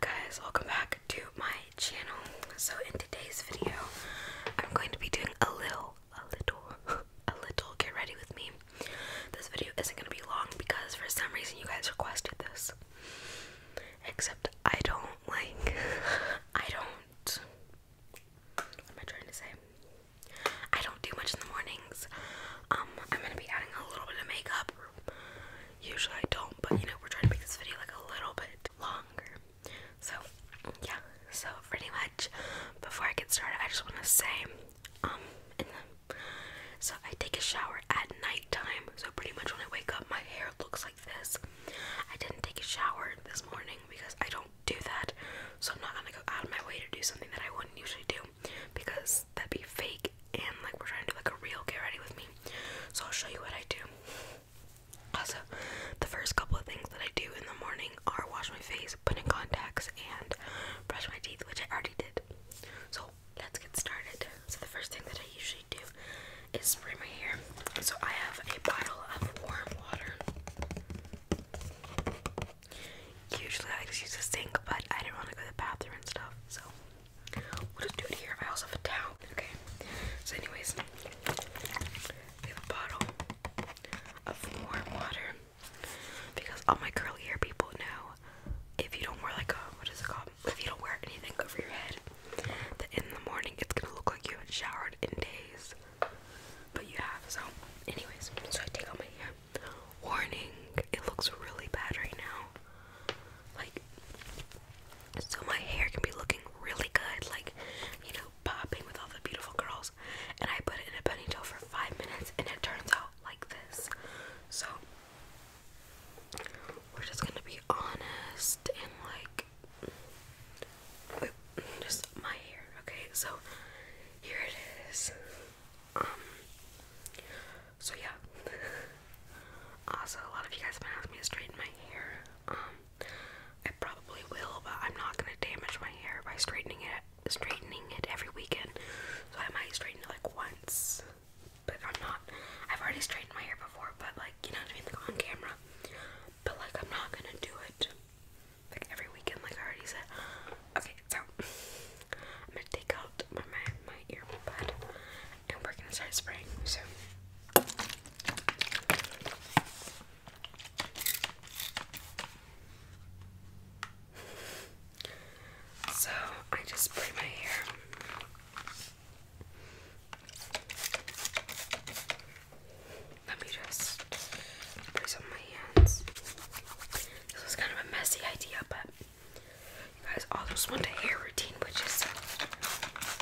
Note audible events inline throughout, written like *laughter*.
guys, welcome back to my channel. So in today's video, I'm going to be doing a little, a little, *laughs* a little get ready with me. This video isn't going to be long because for some reason you guys requested this. Except I don't like, *laughs* I don't, what am I trying to say? I don't do much in the mornings. Um, I'm going to be adding a little bit of makeup Usually I don't, but you know, we're trying to make this video like a little bit longer. So, yeah. So, pretty much, before I get started, I just want to say, um, so I take a shower at nighttime. So, pretty much when I wake up, my hair looks like this. I didn't take a shower this morning because I don't do that. So, I'm not going to go out of my way to do something that I wouldn't usually do because that'd be fake and like we're trying to like a real get ready with me. So I'll show you what I do. Also, the first couple of things that I do in the morning are wash my face, put in contacts, and brush my teeth, which I already did. So let's get started. So the first thing that I usually do is spray my hair. So I have a bottle of warm water. Usually I just use the sink, but I didn't want to go to the bathroom and stuff, so We'll do it here. I also have Okay. So, anyways, we have a bottle of warm water because all my curly hair people know if you don't wear like a what is it called? If you don't wear anything over your head, that in the morning it's gonna look like you haven't showered in days, but you have. So, anyways, so I take out my hair. Warning, it looks really bad right now like so my hair can be looking really good, like you know, popping with all the beautiful curls, and I put it in a ponytail for five minutes, and it turns out like this. So we're just gonna be honest and like just my hair, okay? So here it is. Um, so yeah. also, uh, a lot of you guys have been asking me to straighten my hair. Um, I probably will, but I'm not gonna damage my hair by straightening it, straightening it every weekend. So I might straighten it like once, but I'm not. I've already straightened my hair before, but like you know what I mean, like on camera. But like I'm not gonna do it like every weekend, like I already said. Okay, so I'm gonna take out my my, earbud and we're gonna start spraying So I just spray my hair. Let me just place on my hands. This was kind of a messy idea, but you guys also want a hair routine, which is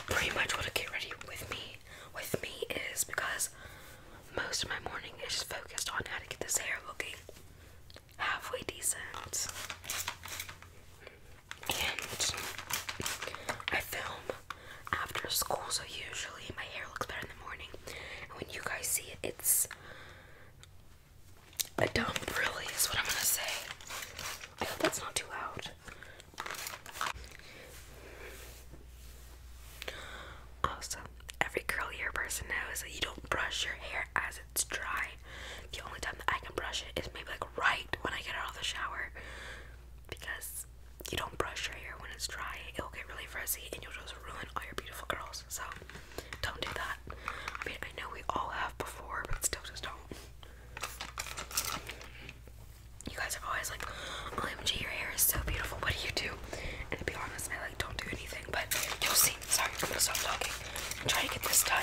pretty much what I get ready with me with me is because most of my morning is just focused on how to get this hair looking halfway decent. And I film after school, so usually my hair looks better in the morning. And when you guys see it, it's a dump, really, is what I'm gonna say. I hope that's not too loud. Also, every curly curlier person knows that you don't brush your hair as it's dry. The only time that I can brush it is maybe like right when I get out of the shower because you don't brush your hair when it's dry. It'll get really frizzy and you'll just ruin all your beautiful curls. So, don't do that. I mean, I know we all have before, but still just don't. You guys are always like, OMG, your hair is so beautiful. What do you do? And to be honest, I like don't do anything, but you'll see. Sorry, I'm gonna stop talking and try to get this done.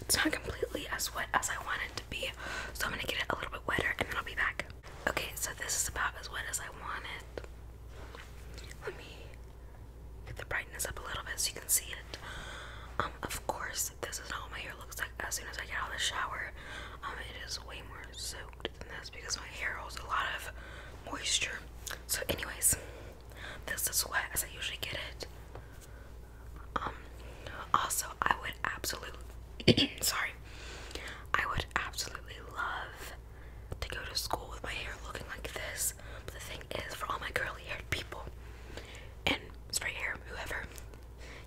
it's not completely as wet as I want it to be, so I'm gonna get it a little bit wetter and then I'll be back. Okay, so this is about as wet as I want it. Let me get the brightness up a little bit so you can see it. Um, of course, this is not what my hair looks like as soon as I get out of the shower. Um, it is way more soaked than this because my hair holds a lot of moisture. So, anyways, this is wet as I usually get it. Um, also, I would absolutely, *clears throat* sorry, I would absolutely love to go to school with my hair looking like this. But the thing is, for all my curly haired people and straight hair, whoever,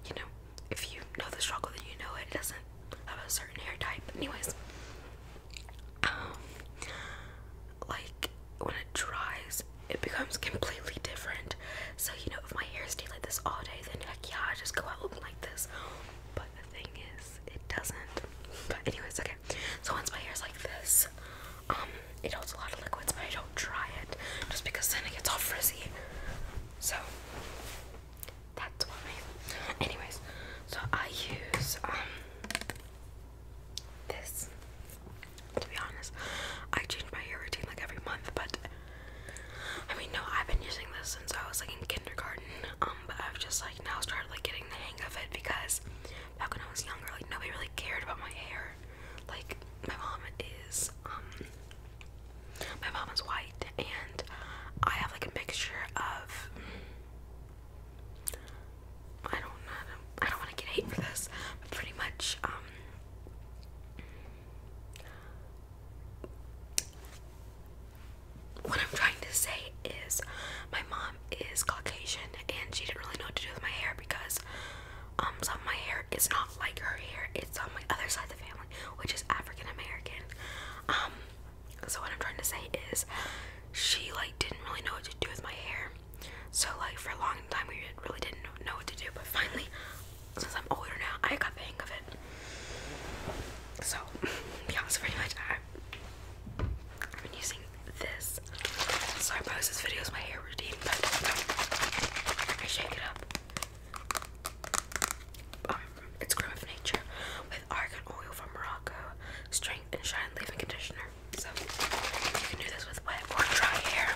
you know, if you know the struggle, then you know it. doesn't have a certain hair type. Anyways, um, like when it dries, it becomes completely different. So, you know, if my hair stayed like this all day, then heck yeah, I just go out looking like this. But the thing is, it doesn't. But, anyways, okay. So, once my hair is like this, um, it holds a lot of liquids, but I don't dry it just because then it gets all frizzy. So, that's why. Anyways, so I use, um, this to be honest. I change my hair routine like every month, but I mean, no, I've been using this since I was like in kindergarten. Um, but I've just like now started like getting the hang of it because back when I was younger, like nobody really cared about my hair. Like my mom is um, my mom is white and I have like a mixture of I don't know. I don't want to get hate for this, pretty much um, what I'm trying to say is, my mom is Caucasian, and she didn't really know what to do with my hair because um, some of my hair is not like her hair. It's on my other side of the family, which is African American. Um, so what I'm trying to say is, she like didn't really know what to do with my hair, so like for a long time we really didn't know what to do, but finally, since I'm older now, I got the hang of it. So *laughs* yeah, so pretty much I, I've been using this. So I post this video as my hair routine, but I shake it up. Um, it's Grim of Nature with argan oil from Morocco, strength and shine leave-in conditioner. So you can do this with wet or dry hair.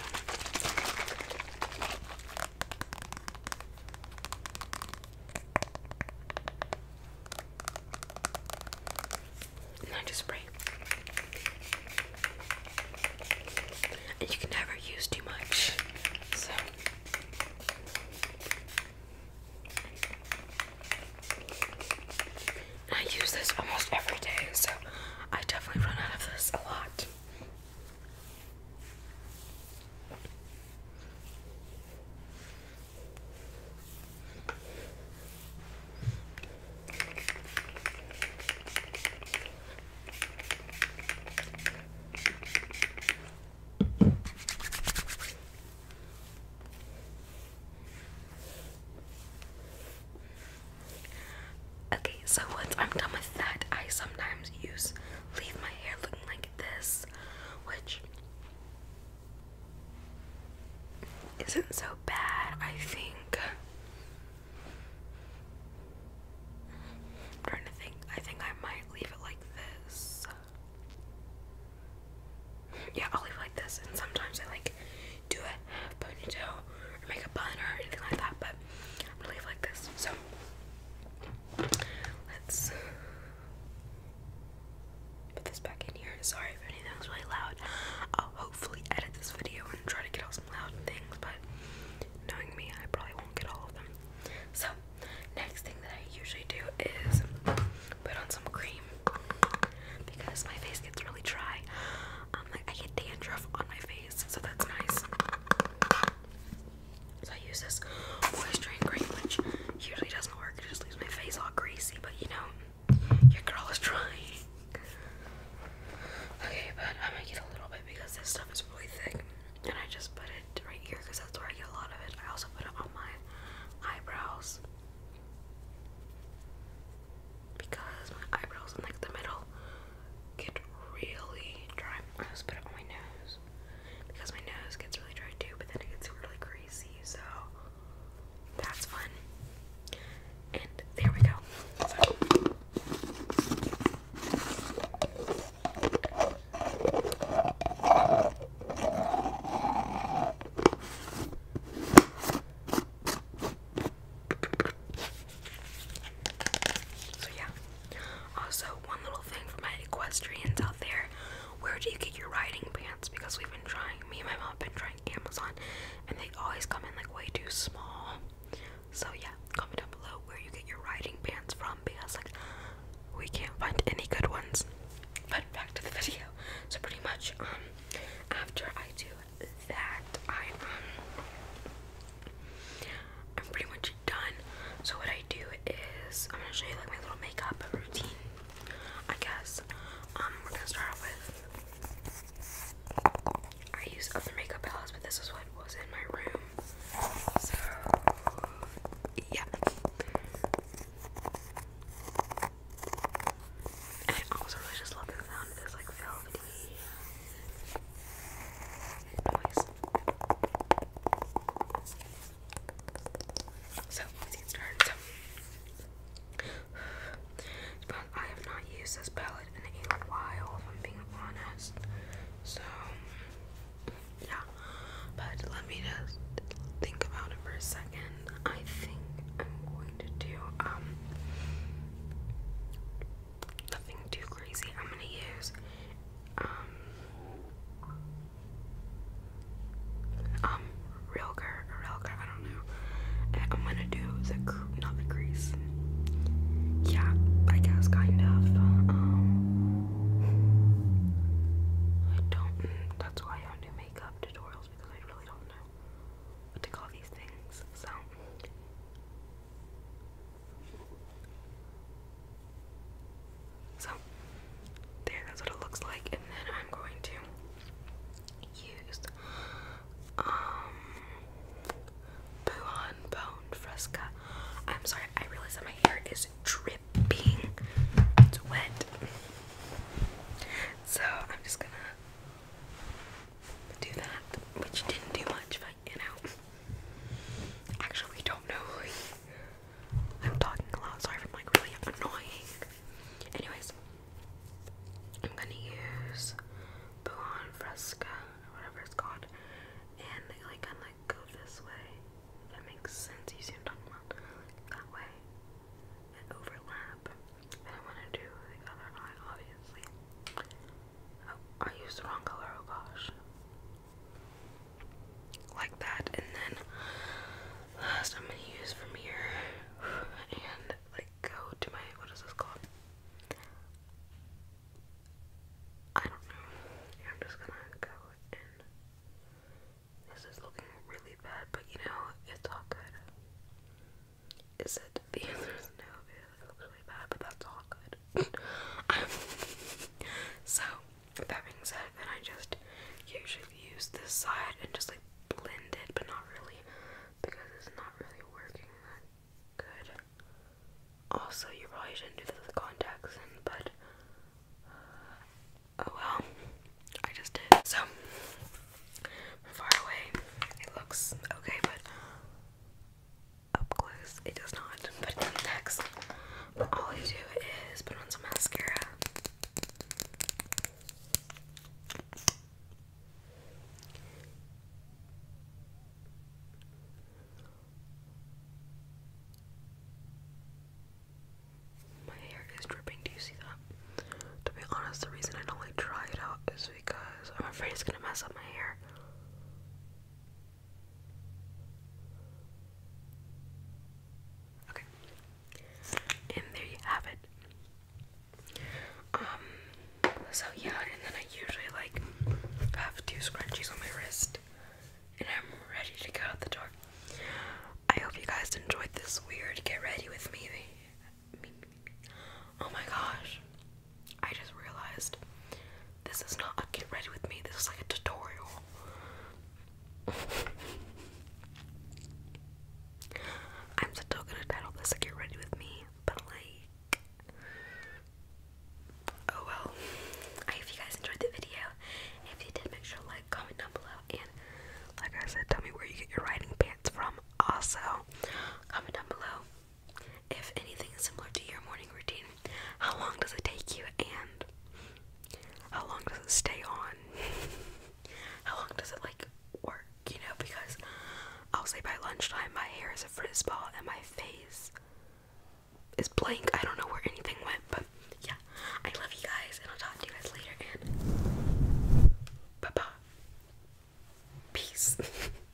And I just spray. And you can never use too much. So I use this almost every day, so I definitely run out of this a lot. Okay, so once I'm done with that, I sometimes use leave my hair looking like this, which isn't so bad, I think. I'm trying to think. I think I might leave it like this. Yeah, I'll leave like this, and sometimes I like do a ponytail make a bun or anything like that, but I'm going like this. So let's put this back in here. Sorry if anything was really loud. I'll hopefully edit this video and try to get out some loud things, but knowing me, I probably won't get all of them. So next thing that I usually do is put on some cream because my face gets really dry. I'm um, like I get dandruff on my face so that's nice. So I use this moisturizing which usually doesn't work. It just leaves my face all greasy, but you know, your girl is trying. Okay, but I might get a little bit because this stuff is really thick, and I just put it right here because that's where I get a lot of it. I also put it on my eyebrows because my eyebrows in like the middle get really dry. I just put it on my nose because my nose gets really dry too, but then it gets really greasy, so that's fun. And there we go. So yeah. Also, one little thing for my equestrians out there: where do you get your riding pants? Because we've been trying, me and my mom have been trying Amazon, and they always come in like way too small. So yeah, comment down below where you get your riding pants from, because like we can't find any good ones. But back to the video. So pretty much, um, after I do that I am um, pretty much done. So what I do is I'm gonna show you like my little makeup routine, I guess. Um, we're gonna start with I use other makeup palettes, but this is what was in my room. So yeah. I also really just love the sound of this like velvety so let's get started. I have not used this palette in a while, if I'm being honest. So, yeah. But let me just think about it for a second. I think I'm going to do um nothing too crazy. I'm gonna use um um Rilker or I don't know. I'm gonna do the not the crease. Yeah, I guess kind of. Um, I don't. That's why I do makeup tutorials because I really don't know what to call these things. So so, there, that's what it looks like. And then I'm going to use um, Buon Bone Fresca. I'm sorry, I realize that my hair is dripping. It's wet. So, I'm just gonna do that, which didn't do much, but you know. Actually, we don't know. I'm talking a lot, sorry if like really annoying. Anyways, I'm gonna use Buon Fresca, or whatever it's called, and they like kinda like go this way. If that makes sense, you see what I'm talking about? that way. And overlap. And I wanna do the other eye, obviously. Oh, I used the wrong color, oh gosh. Like that, and then last uh, I'm gonna use from here and like go to my what is this called? I don't know. I'm just gonna go This is looking really bad, but you know, it's all good. Is it? The answer is no. It looks really bad, but that's all good. *laughs* so, that being said, I just usually use this side and just like blend it, but not really because it's not really working good. Also, you probably shouldn't do this with contacts but uh, oh well. I just did. So, far away, it looks okay, but up close. It does not, but it detects. But all you do is put on some mascara. My hair is dripping. Do you see that? To be honest, the reason I don't like dry it out is because I'm afraid it's gonna mess up my hair. Okay. And there you have it. Um so yeah, and then I usually like have two scrunchies on my wrist and I'm ready to go out the door. I hope you guys enjoyed this weird get ready with me. Oh my gosh. I just realized this is not a get ready with me, this is like a tutorial. *laughs* I'm still gonna title this a get ready with me, but like. Oh well. I hope you guys enjoyed the video. If you did, make sure to like, comment down below, and like I said, tell me where you get your riding pants from. Also, comment down below if anything is similar to your morning routine, how long does it take you and how long does it stay on? *laughs* how long does it like work, you know? Because I'll say by lunchtime my hair is a frizz ball and my face is blank. I don't know where anything went, but yeah. I love you guys and I'll talk to you guys later and bye bye. Peace. *laughs*